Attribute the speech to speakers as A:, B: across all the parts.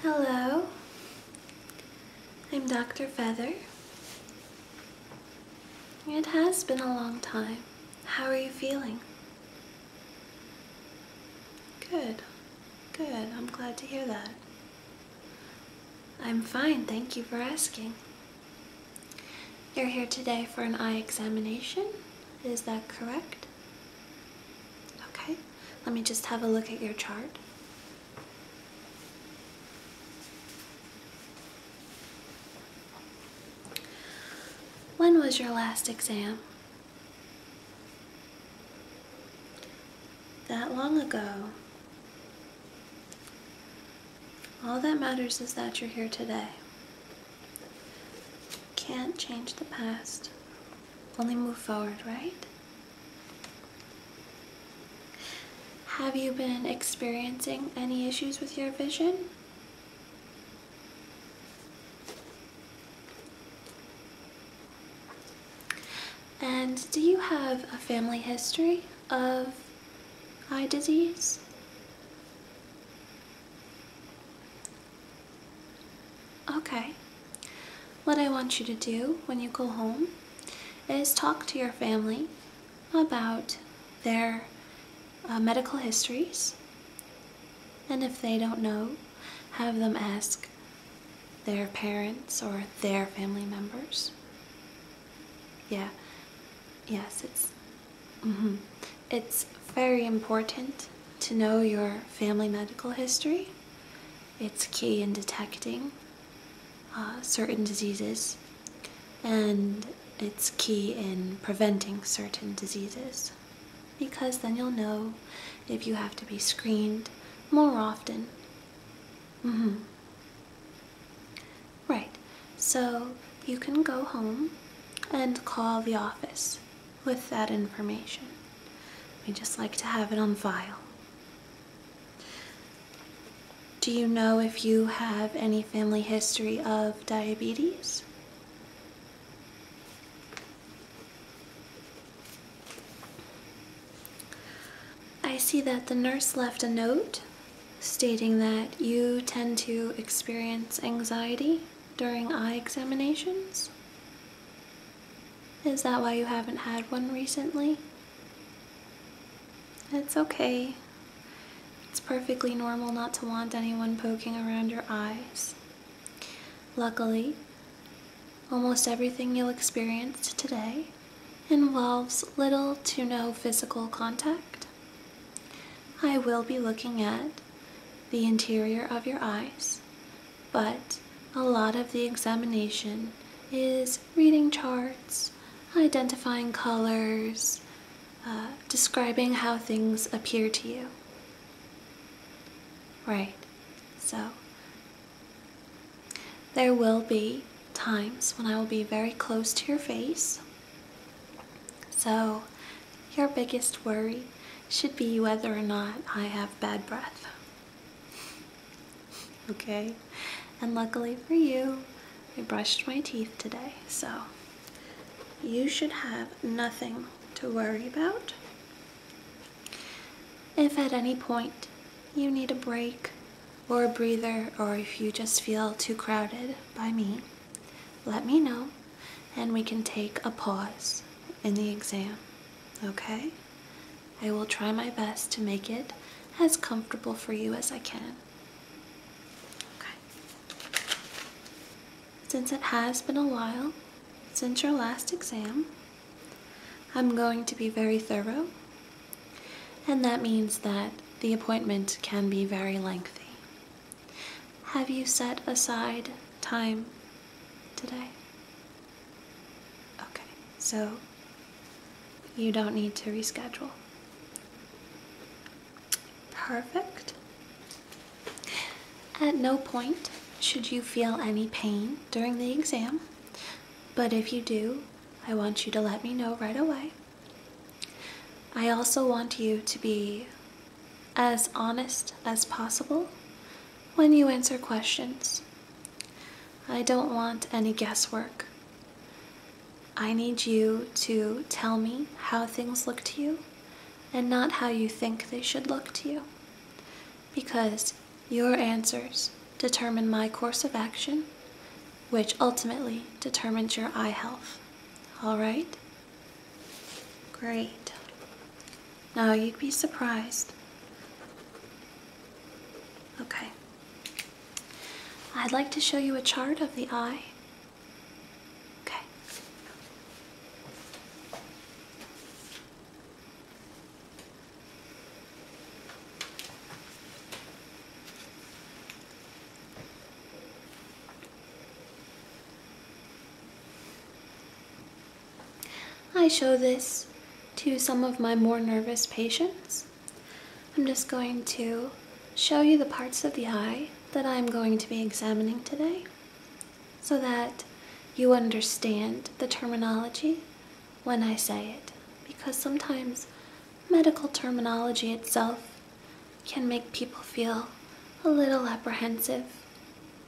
A: Hello, I'm Dr. Feather. It has been a long time. How are you feeling? Good, good. I'm glad to hear that. I'm fine, thank you for asking. You're here today for an eye examination, is that correct? Okay, let me just have a look at your chart. When was your last exam? that long ago. All that matters is that you're here today. Can't change the past, only move forward, right? Have you been experiencing any issues with your vision? And do you have a family history of eye disease? Okay. What I want you to do when you go home is talk to your family about their uh, medical histories. And if they don't know, have them ask their parents or their family members. Yeah. Yes, it's. Mm -hmm. It's very important to know your family medical history. It's key in detecting uh, certain diseases, and it's key in preventing certain diseases because then you'll know if you have to be screened more often Mm-hmm. Right. So you can go home and call the office with that information. We just like to have it on file. Do you know if you have any family history of diabetes? I see that the nurse left a note stating that you tend to experience anxiety during eye examinations. Is that why you haven't had one recently? It's okay. It's perfectly normal not to want anyone poking around your eyes. Luckily, Almost everything you'll experience today involves little to no physical contact. I will be looking at the interior of your eyes, but a lot of the examination is reading charts, identifying colors, uh, describing how things appear to you. Right, so there will be times when I will be very close to your face. So, your biggest worry should be whether or not I have bad breath. okay? And luckily for you, I brushed my teeth today, so you should have nothing to worry about. If at any point you need a break or a breather, or if you just feel too crowded by me, let me know and we can take a pause in the exam, okay? I will try my best to make it as comfortable for you as I can. Okay. Since it has been a while since your last exam, I'm going to be very thorough, and that means that the appointment can be very lengthy. Have you set aside time today? Okay, so you don't need to reschedule. Perfect. At no point should you feel any pain during the exam, but if you do, I want you to let me know right away. I also want you to be as honest as possible when you answer questions. I don't want any guesswork. I need you to tell me how things look to you and not how you think they should look to you. Because your answers determine my course of action, which ultimately determines your eye health. All right? Great. Now you'd be surprised. Okay. I'd like to show you a chart of the eye. Okay. I show this to some of my more nervous patients. I'm just going to show you the parts of the eye that I'm going to be examining today so that you understand the terminology when I say it because sometimes medical terminology itself can make people feel a little apprehensive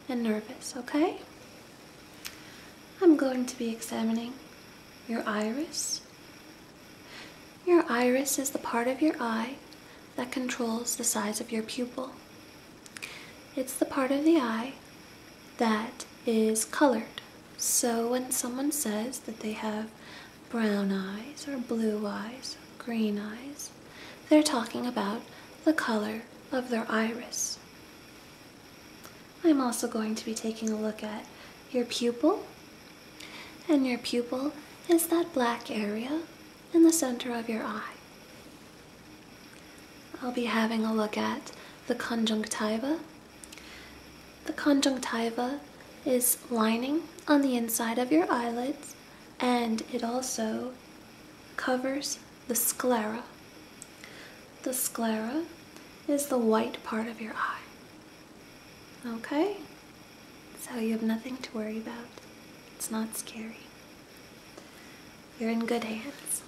A: and nervous, okay? I'm going to be examining your iris. Your iris is the part of your eye that controls the size of your pupil. It's the part of the eye that is colored. So when someone says that they have brown eyes or blue eyes or green eyes, they're talking about the color of their iris. I'm also going to be taking a look at your pupil. And your pupil is that black area in the center of your eye. I'll be having a look at the conjunctiva the conjunctiva is lining on the inside of your eyelids and it also covers the sclera. The sclera is the white part of your eye. Okay? So you have nothing to worry about. It's not scary. You're in good hands.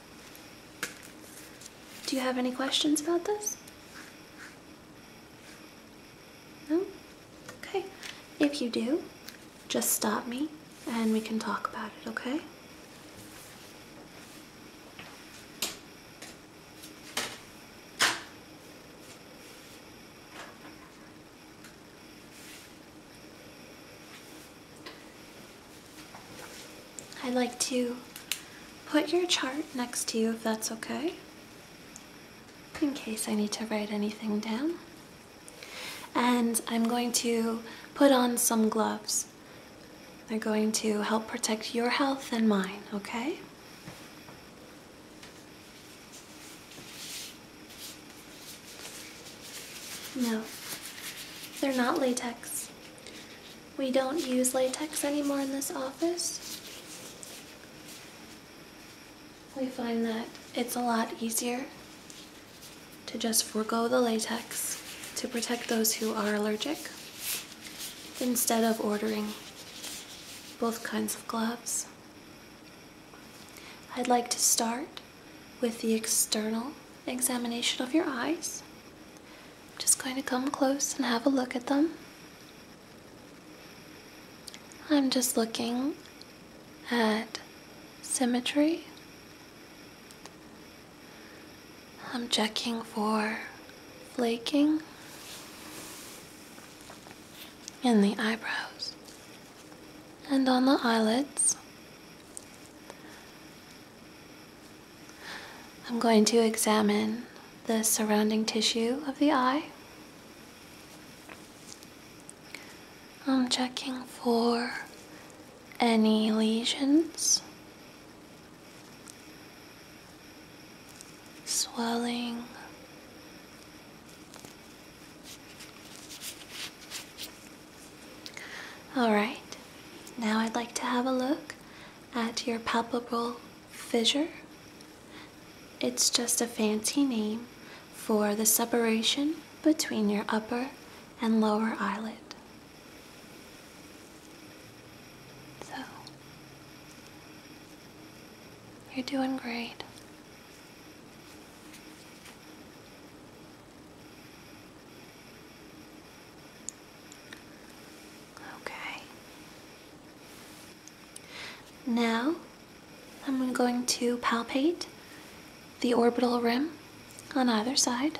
A: Do you have any questions about this? No? Okay. If you do, just stop me and we can talk about it, okay? I'd like to put your chart next to you if that's okay, in case I need to write anything down. And I'm going to put on some gloves. They're going to help protect your health and mine, okay? No, they're not latex. We don't use latex anymore in this office. We find that it's a lot easier to just forego the latex to protect those who are allergic instead of ordering both kinds of gloves. I'd like to start with the external examination of your eyes. I'm just going to come close and have a look at them. I'm just looking at symmetry. I'm checking for flaking in the eyebrows and on the eyelids. I'm going to examine the surrounding tissue of the eye. I'm checking for any lesions, swelling, Alright, now I'd like to have a look at your palpable fissure. It's just a fancy name for the separation between your upper and lower eyelid. So, you're doing great. Okay. Now I'm going to palpate the orbital rim on either side.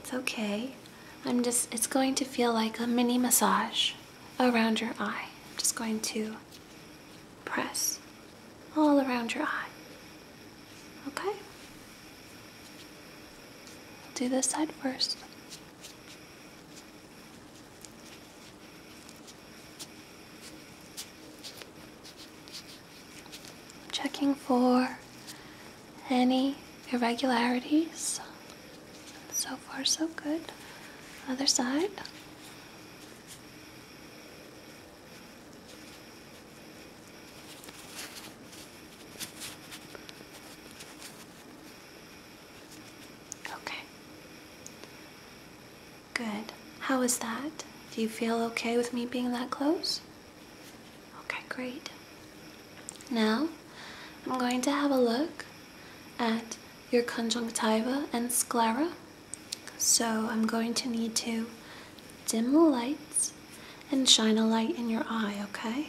A: It's okay. I'm just, it's going to feel like a mini massage around your eye. I'm just going to press all around your eye. Okay? Do this side first. Checking for any irregularities. So far, so good. Other side. Okay. Good. How is that? Do you feel okay with me being that close? Okay, great. Now, I'm going to have a look at your conjunctiva and sclera. So I'm going to need to dim the lights and shine a light in your eye, okay?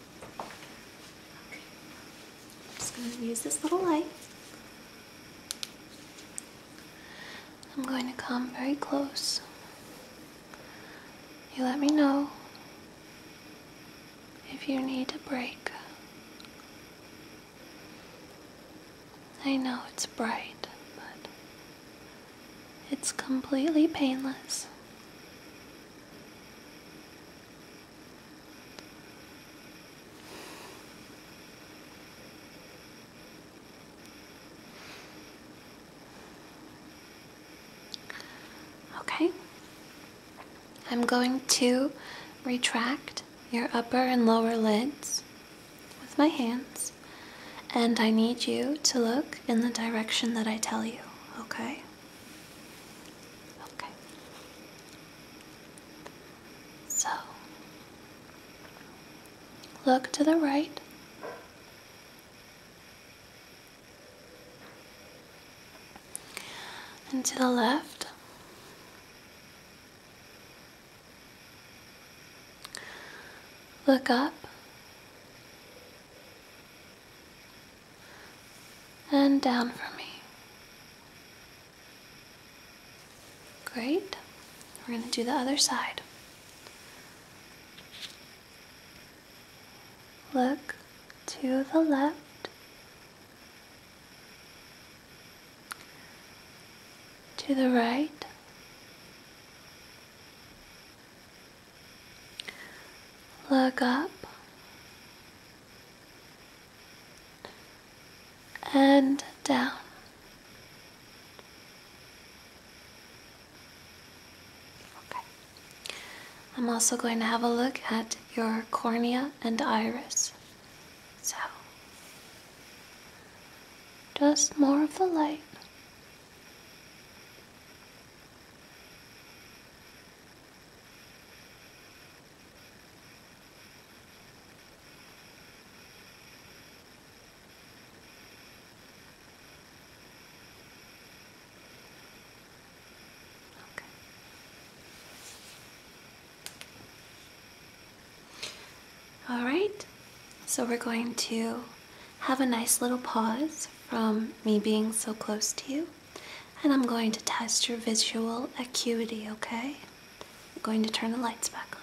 A: I'm just going to use this little light. I'm going to come very close. You let me know if you need a break. I know it's bright, but it's completely painless. Okay, I'm going to retract your upper and lower lids with my hands, and I need you to look in the direction that I tell you, okay? Okay. So, look to the right. And to the left. Look up and down for me. Great. We're going to do the other side. Look to the left. To the right. Look up and down. Okay. I'm also going to have a look at your cornea and iris. So, just more of the light. Okay. All right, so we're going to have a nice little pause from me being so close to you and I'm going to test your visual acuity, okay? I'm going to turn the lights back on.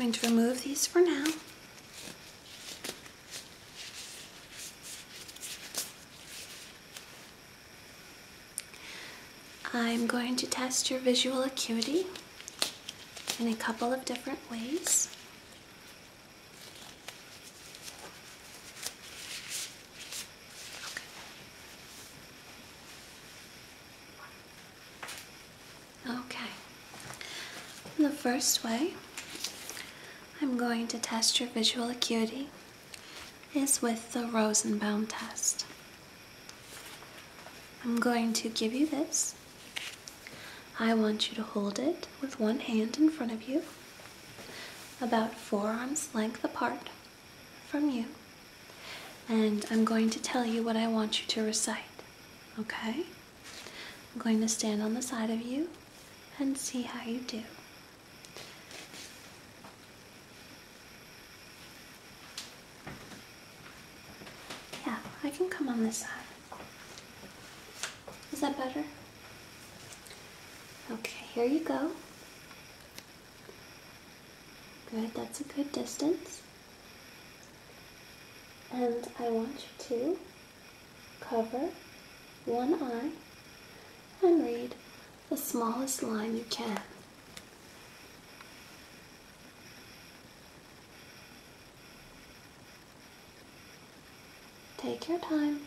A: I'm going to remove these for now. I'm going to test your visual acuity in a couple of different ways. Okay. The first way I'm going to test your visual acuity is with the Rosenbaum test. I'm going to give you this. I want you to hold it with one hand in front of you about four arms length apart from you, and I'm going to tell you what I want you to recite. Okay? I'm going to stand on the side of you and see how you do. Yeah, I can come on this side. Is that better? Okay, here you go. Good, that's a good distance. And I want you to cover one eye and read the smallest line you can. Take your time.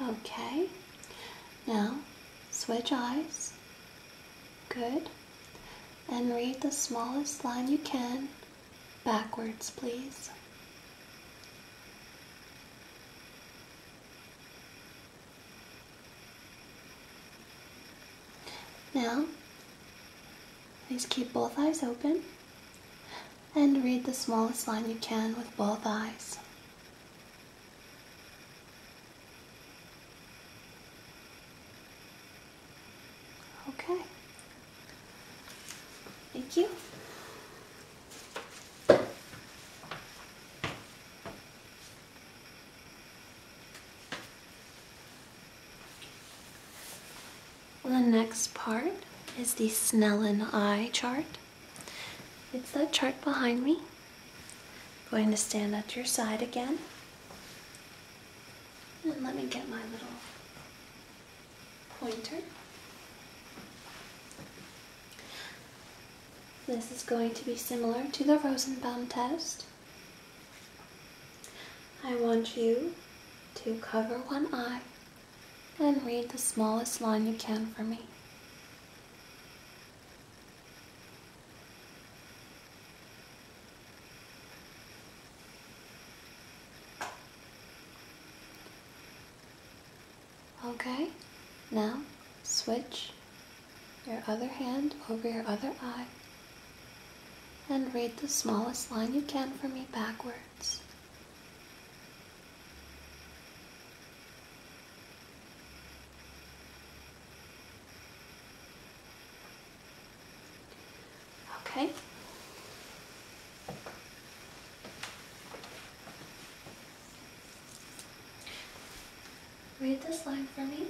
A: Okay, now switch eyes. Good. And read the smallest line you can backwards, please. Now, please keep both eyes open and read the smallest line you can with both eyes. Okay. Thank you. The next part is the Snellen eye chart. It's that chart behind me. going to stand at your side again. And let me get my little pointer. This is going to be similar to the Rosenbaum test. I want you to cover one eye and read the smallest line you can for me. Okay, now switch your other hand over your other eye and read the smallest line you can for me backwards. Okay. Read this line for me.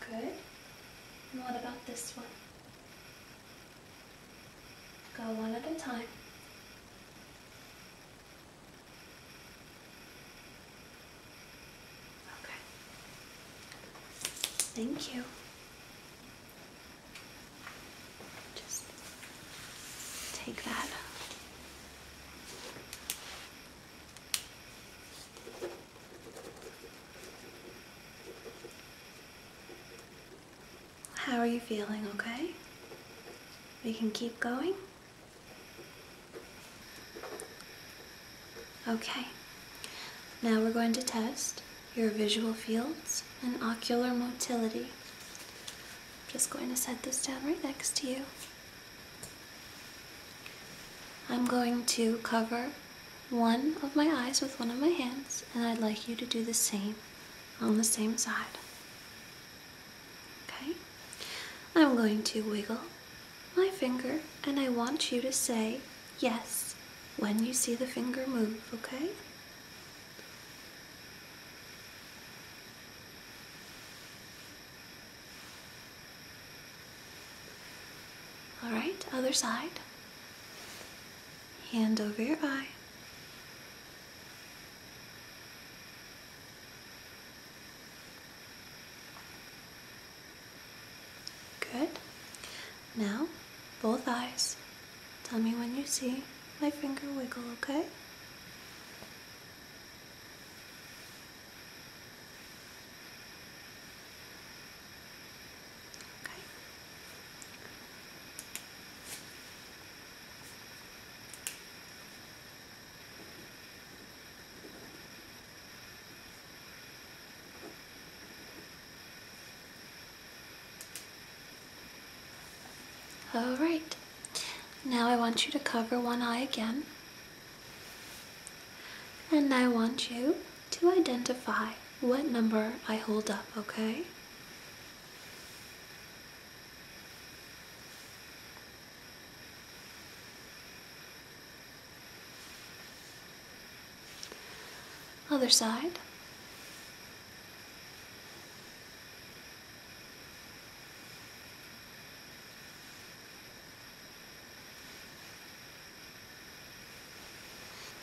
A: Good. what about this one? Go one at a time. Okay. Thank you. Just take that. How are you feeling, okay? We can keep going? Okay. Now we're going to test your visual fields and ocular motility. I'm just going to set this down right next to you. I'm going to cover one of my eyes with one of my hands, and I'd like you to do the same on the same side. Okay? I'm going to wiggle my finger, and I want you to say yes when you see the finger move, okay? All right, other side. Hand over your eye. Good. Now, both eyes. Tell me when you see my finger wiggle, okay? All right. Now I want you to cover one eye again. And I want you to identify what number I hold up, okay? Other side.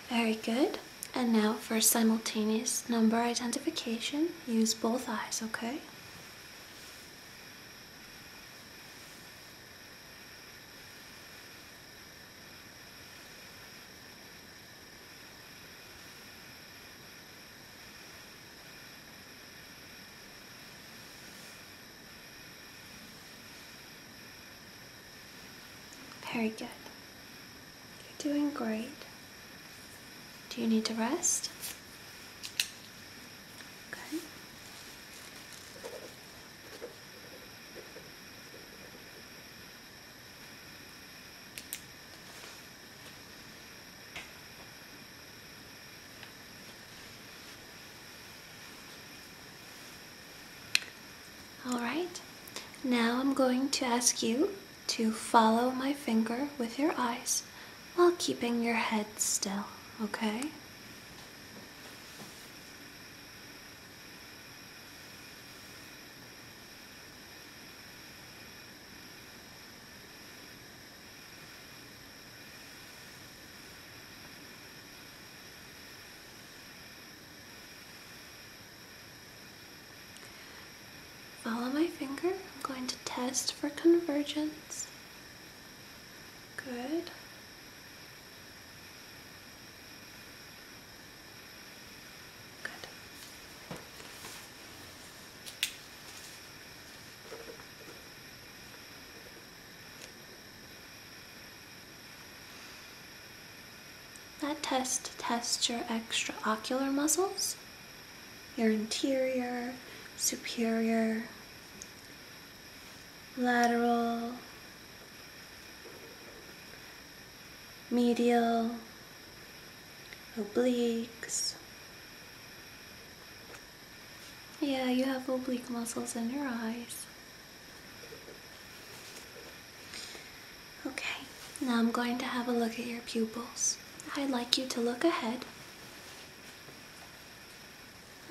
A: Very good. And now for simultaneous number identification, use both eyes, okay? Very good. You're doing great. Do you need to rest? Good. Alright, now I'm going to ask you to follow my finger with your eyes while keeping your head still, okay? Follow my finger. I'm going to test for convergence. Good. Good. That test tests your extraocular muscles, your anterior, superior, lateral, medial, obliques. Yeah, you have oblique muscles in your eyes. Okay, now I'm going to have a look at your pupils. I'd like you to look ahead.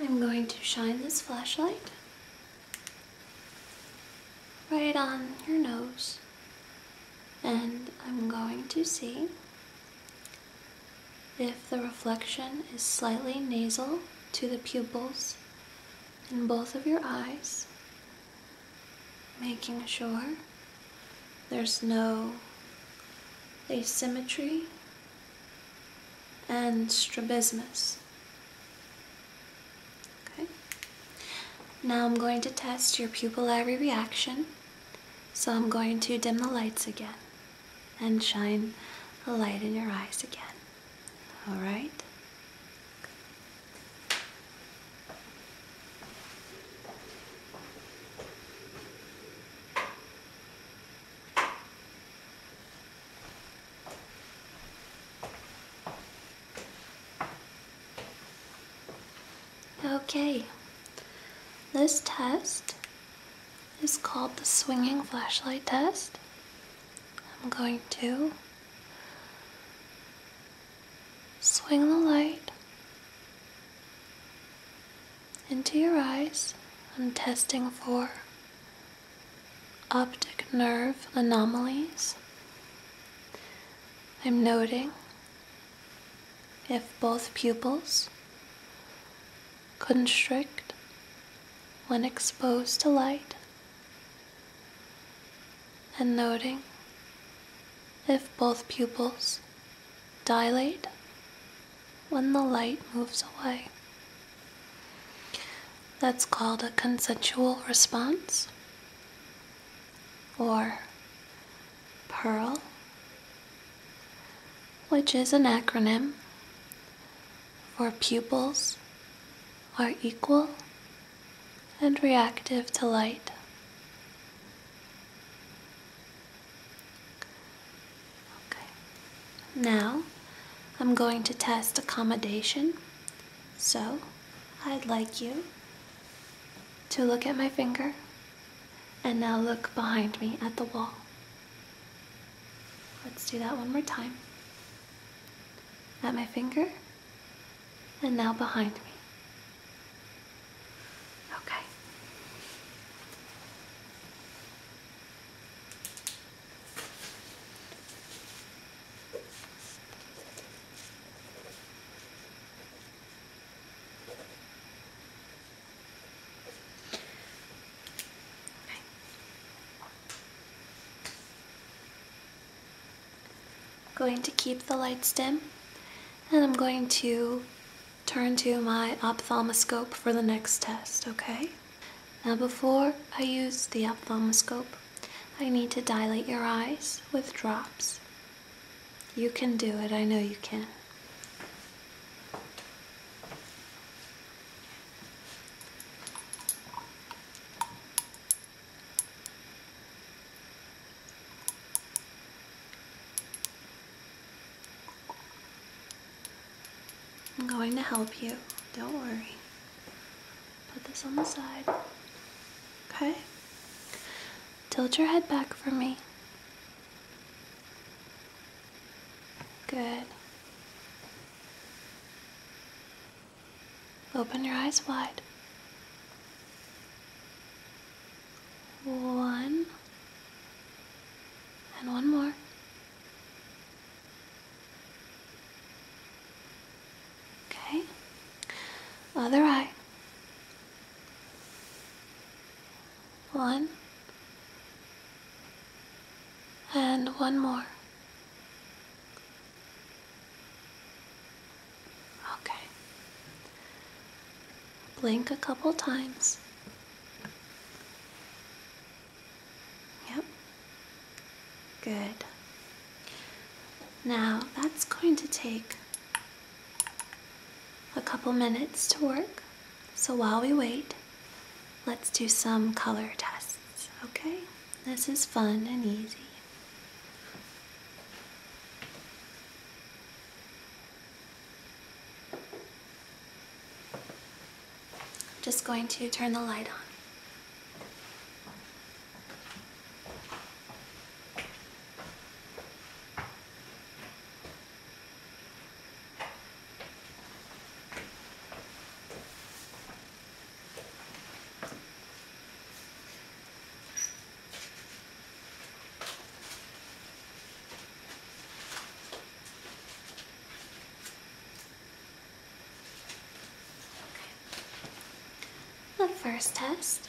A: I'm going to shine this flashlight right on your nose, and I'm going to see if the reflection is slightly nasal to the pupils in both of your eyes, making sure there's no asymmetry and strabismus. Okay. Now I'm going to test your pupillary reaction. So I'm going to dim the lights again and shine a light in your eyes again. All right. Okay, this test is called the swinging flashlight test. I'm going to Swing the light into your eyes. I'm testing for optic nerve anomalies. I'm noting if both pupils constrict when exposed to light and noting if both pupils dilate when the light moves away. That's called a consensual response or PEARL, which is an acronym for pupils are equal and reactive to light. Okay. Now I'm going to test accommodation. So I'd like you to look at my finger and now look behind me at the wall. Let's do that one more time at my finger, and now behind me. Okay. Okay. I'm Going to keep the lights dim and I'm going to turn to my ophthalmoscope for the next test, okay? Now before I use the ophthalmoscope, I need to dilate your eyes with drops. You can do it, I know you can. I'm going to help you. Don't worry. Put this on the side. Okay? Tilt your head back for me. Good. Open your eyes wide. One. And one more. Okay. Other eye. One. And one more. Okay. Blink a couple times. Yep. Good. Now that's going to take a couple minutes to work. So while we wait, let's do some color tests okay. This is fun and easy. just going to turn the light on. The first test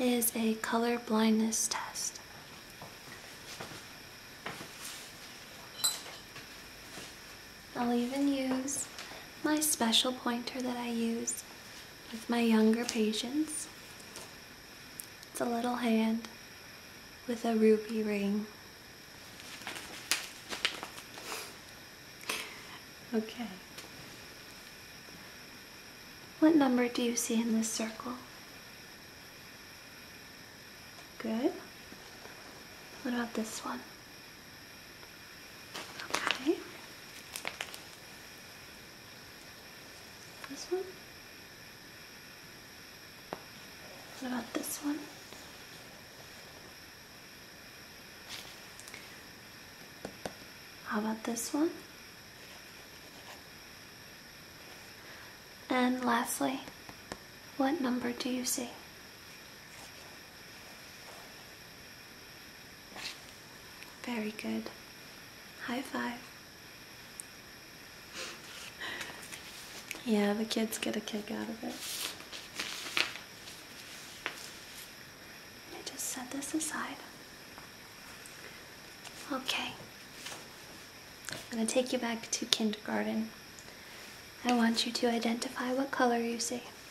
A: is a color blindness test. I'll even use my special pointer that I use with my younger patients. It's a little hand with a ruby ring. Okay. What number do you see in this circle? Good. What about this one? Okay. This one? What about this one? How about this one? And lastly, what number do you see? Very good. High five. yeah, the kids get a kick out of it. I just set this aside. Okay. I'm going to take you back to kindergarten. I want you to identify what color you see.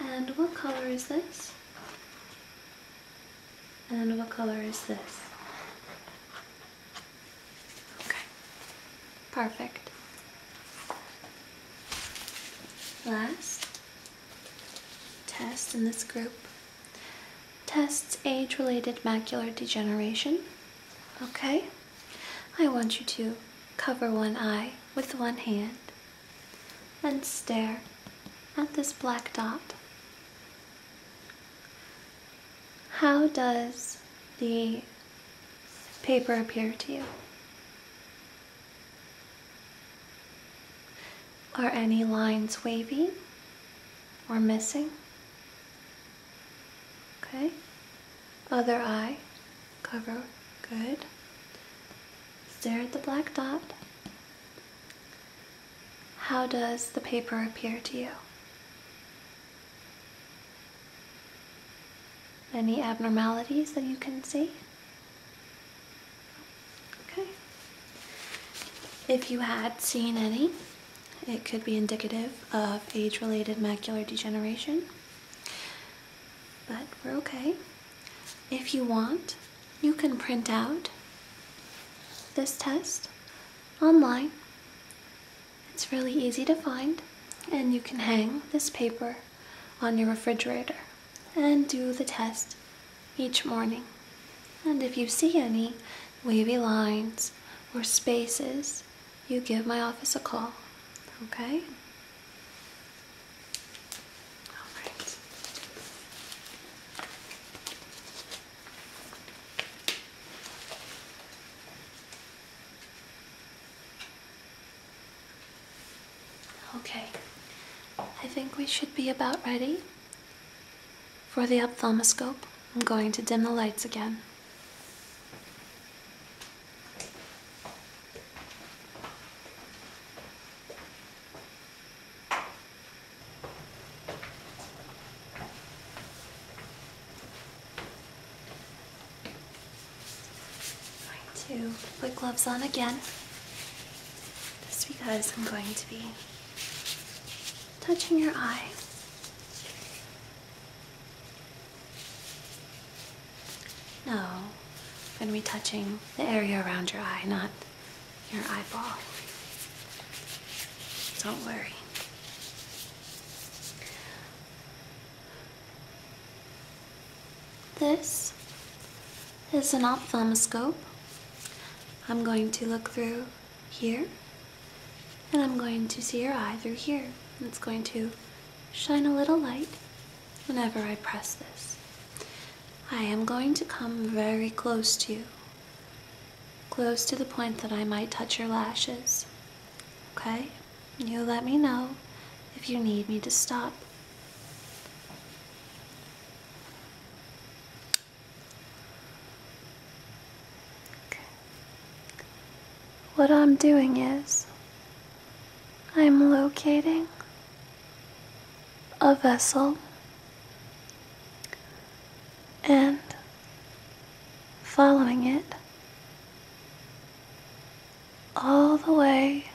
A: And what color is this? And what color is this? Okay, perfect. Last test in this group. Tests age related macular degeneration. Okay? I want you to cover one eye with one hand and stare at this black dot. How does the paper appear to you? Are any lines wavy or missing? Okay. Other eye, cover, good. Stare at the black dot. How does the paper appear to you? Any abnormalities that you can see? Okay. If you had seen any, it could be indicative of age-related macular degeneration, but we're okay. If you want, you can print out this test online. It's really easy to find, and you can hang this paper on your refrigerator and do the test each morning. And if you see any wavy lines or spaces, you give my office a call. Okay? All right. Okay, I think we should be about ready. For the ophthalmoscope, I'm going to dim the lights again. Going to put gloves on again just because I'm going to be touching your eye. No, I'm going to be touching the area around your eye, not your eyeball. Don't worry. This is an ophthalmoscope. I'm going to look through here and I'm going to see your eye through here. It's going to shine a little light whenever I press this. I am going to come very close to you, close to the point that I might touch your lashes. Okay? You let me know if you need me to stop. What I'm doing is, I'm locating a vessel and following it all the way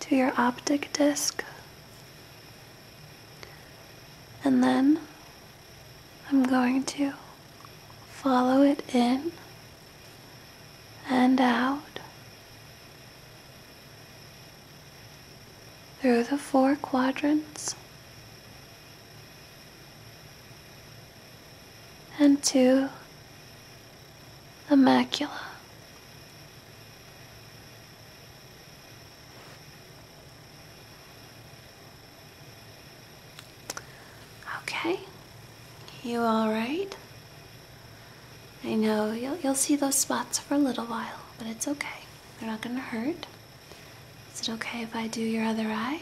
A: to your optic disc and then I'm going to follow it in and out through the four quadrants and to the macula. Okay. You all right? I know you'll you'll see those spots for a little while, but it's okay. They're not going to hurt. Is it okay if I do your other eye?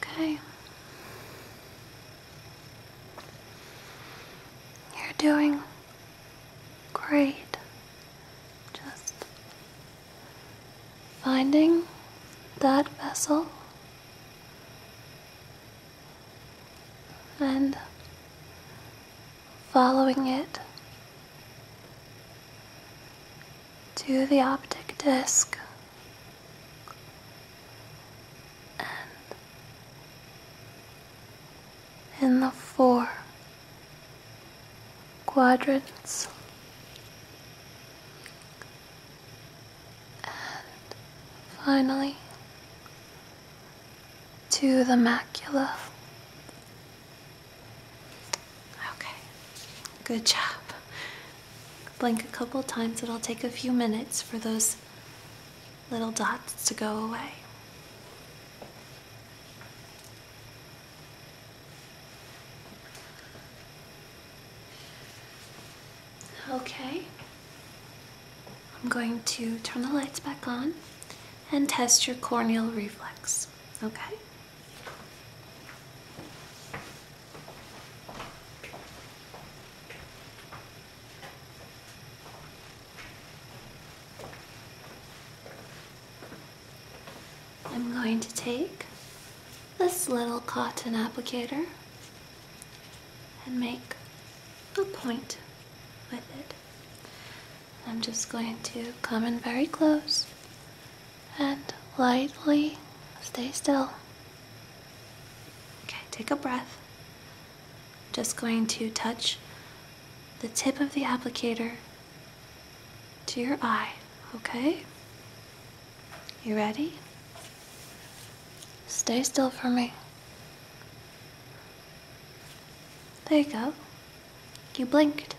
A: Okay. You're doing Great. Just finding that vessel and following it to the optic disc and in the four quadrants and finally to the macula. Okay, good job. Blink a couple times, it'll take a few minutes for those little dots to go away. Okay, I'm going to turn the lights back on and test your corneal reflex, okay? I'm going to take this little cotton applicator and make a point with it. I'm just going to come in very close and lightly stay still. Okay, take a breath just going to touch the tip of the applicator to your eye, okay? You ready? Stay still for me. There you go. You blinked,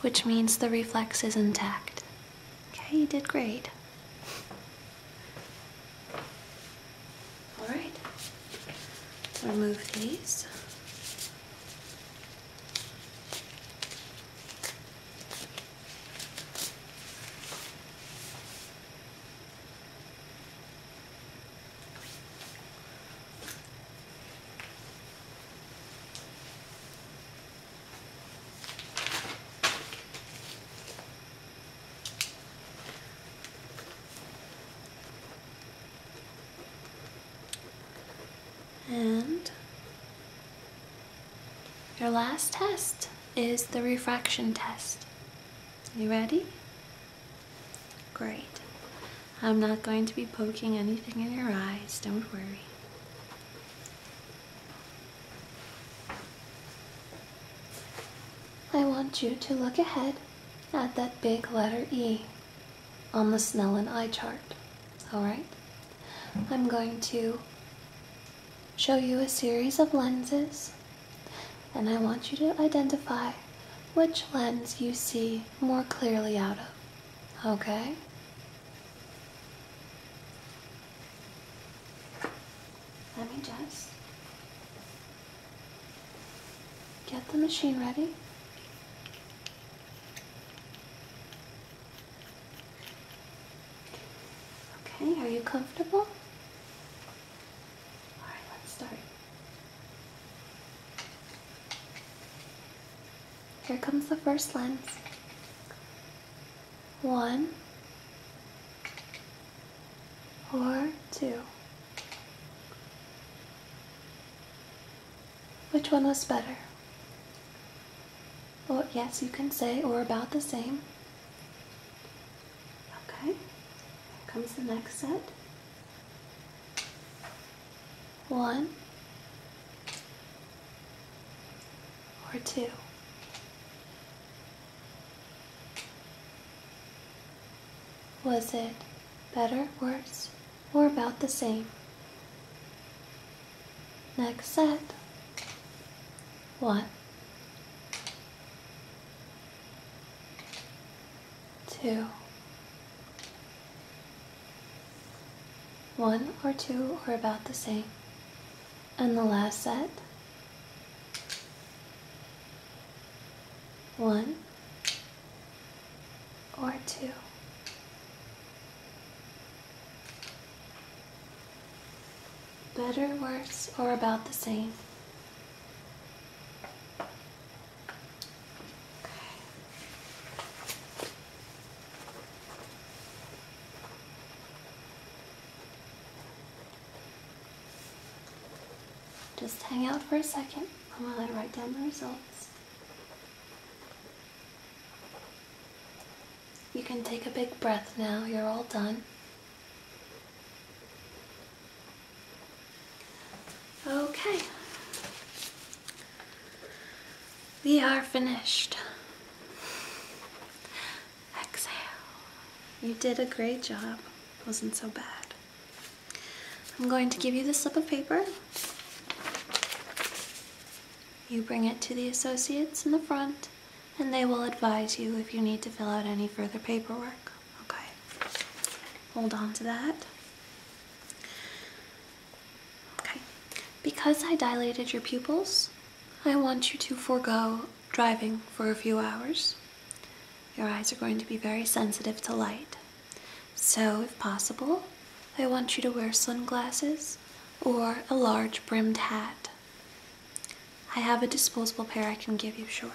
A: which means the reflex is intact. Okay, you did great. All right, remove these. And your last test is the refraction test. You ready? Great. I'm not going to be poking anything in your eyes, don't worry. I want you to look ahead at that big letter E on the Snellen eye chart. Alright? I'm going to show you a series of lenses and I want you to identify which lens you see more clearly out of. Okay? Let me just Get the machine ready. Okay, are you comfortable? All right, let's start. Here comes the first lens. One or two. Which one was better? Well, yes, you can say, or about the same. Okay, comes the next set. One or two. Was it better, worse, or about the same? Next set. two. One or two or about the same. And the last set. One, or two. Better, worse, or about the same. Just hang out for a second while I write down the results. You can take a big breath now, you're all done. Okay. We are finished. Exhale. You did a great job. wasn't so bad. I'm going to give you the slip of paper. You bring it to the associates in the front, and they will advise you if you need to fill out any further paperwork. Okay, hold on to that. Okay, because I dilated your pupils, I want you to forego driving for a few hours. Your eyes are going to be very sensitive to light. So, if possible, I want you to wear sunglasses or a large brimmed hat. I have a disposable pair I can give you, sure.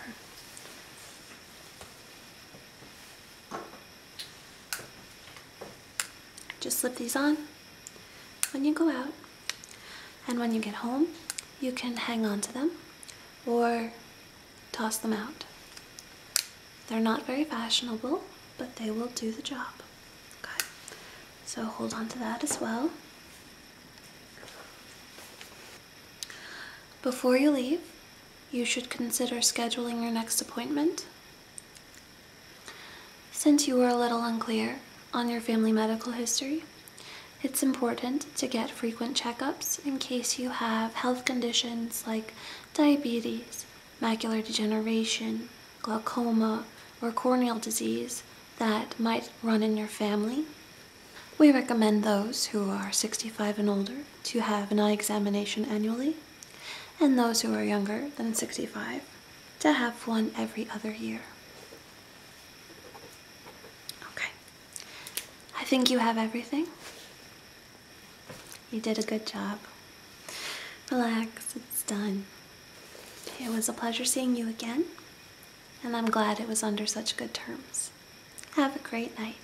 A: Just slip these on when you go out. And when you get home, you can hang on to them or toss them out. They're not very fashionable, but they will do the job. so hold on to that as well. Before you leave, you should consider scheduling your next appointment. Since you are a little unclear on your family medical history, it's important to get frequent checkups in case you have health conditions like diabetes, macular degeneration, glaucoma, or corneal disease that might run in your family. We recommend those who are 65 and older to have an eye examination annually, and those who are younger than 65 to have one every other year. Okay, I think you have everything. You did a good job. Relax, it's done. It was a pleasure seeing you again, and I'm glad it was under such good terms. Have a great night.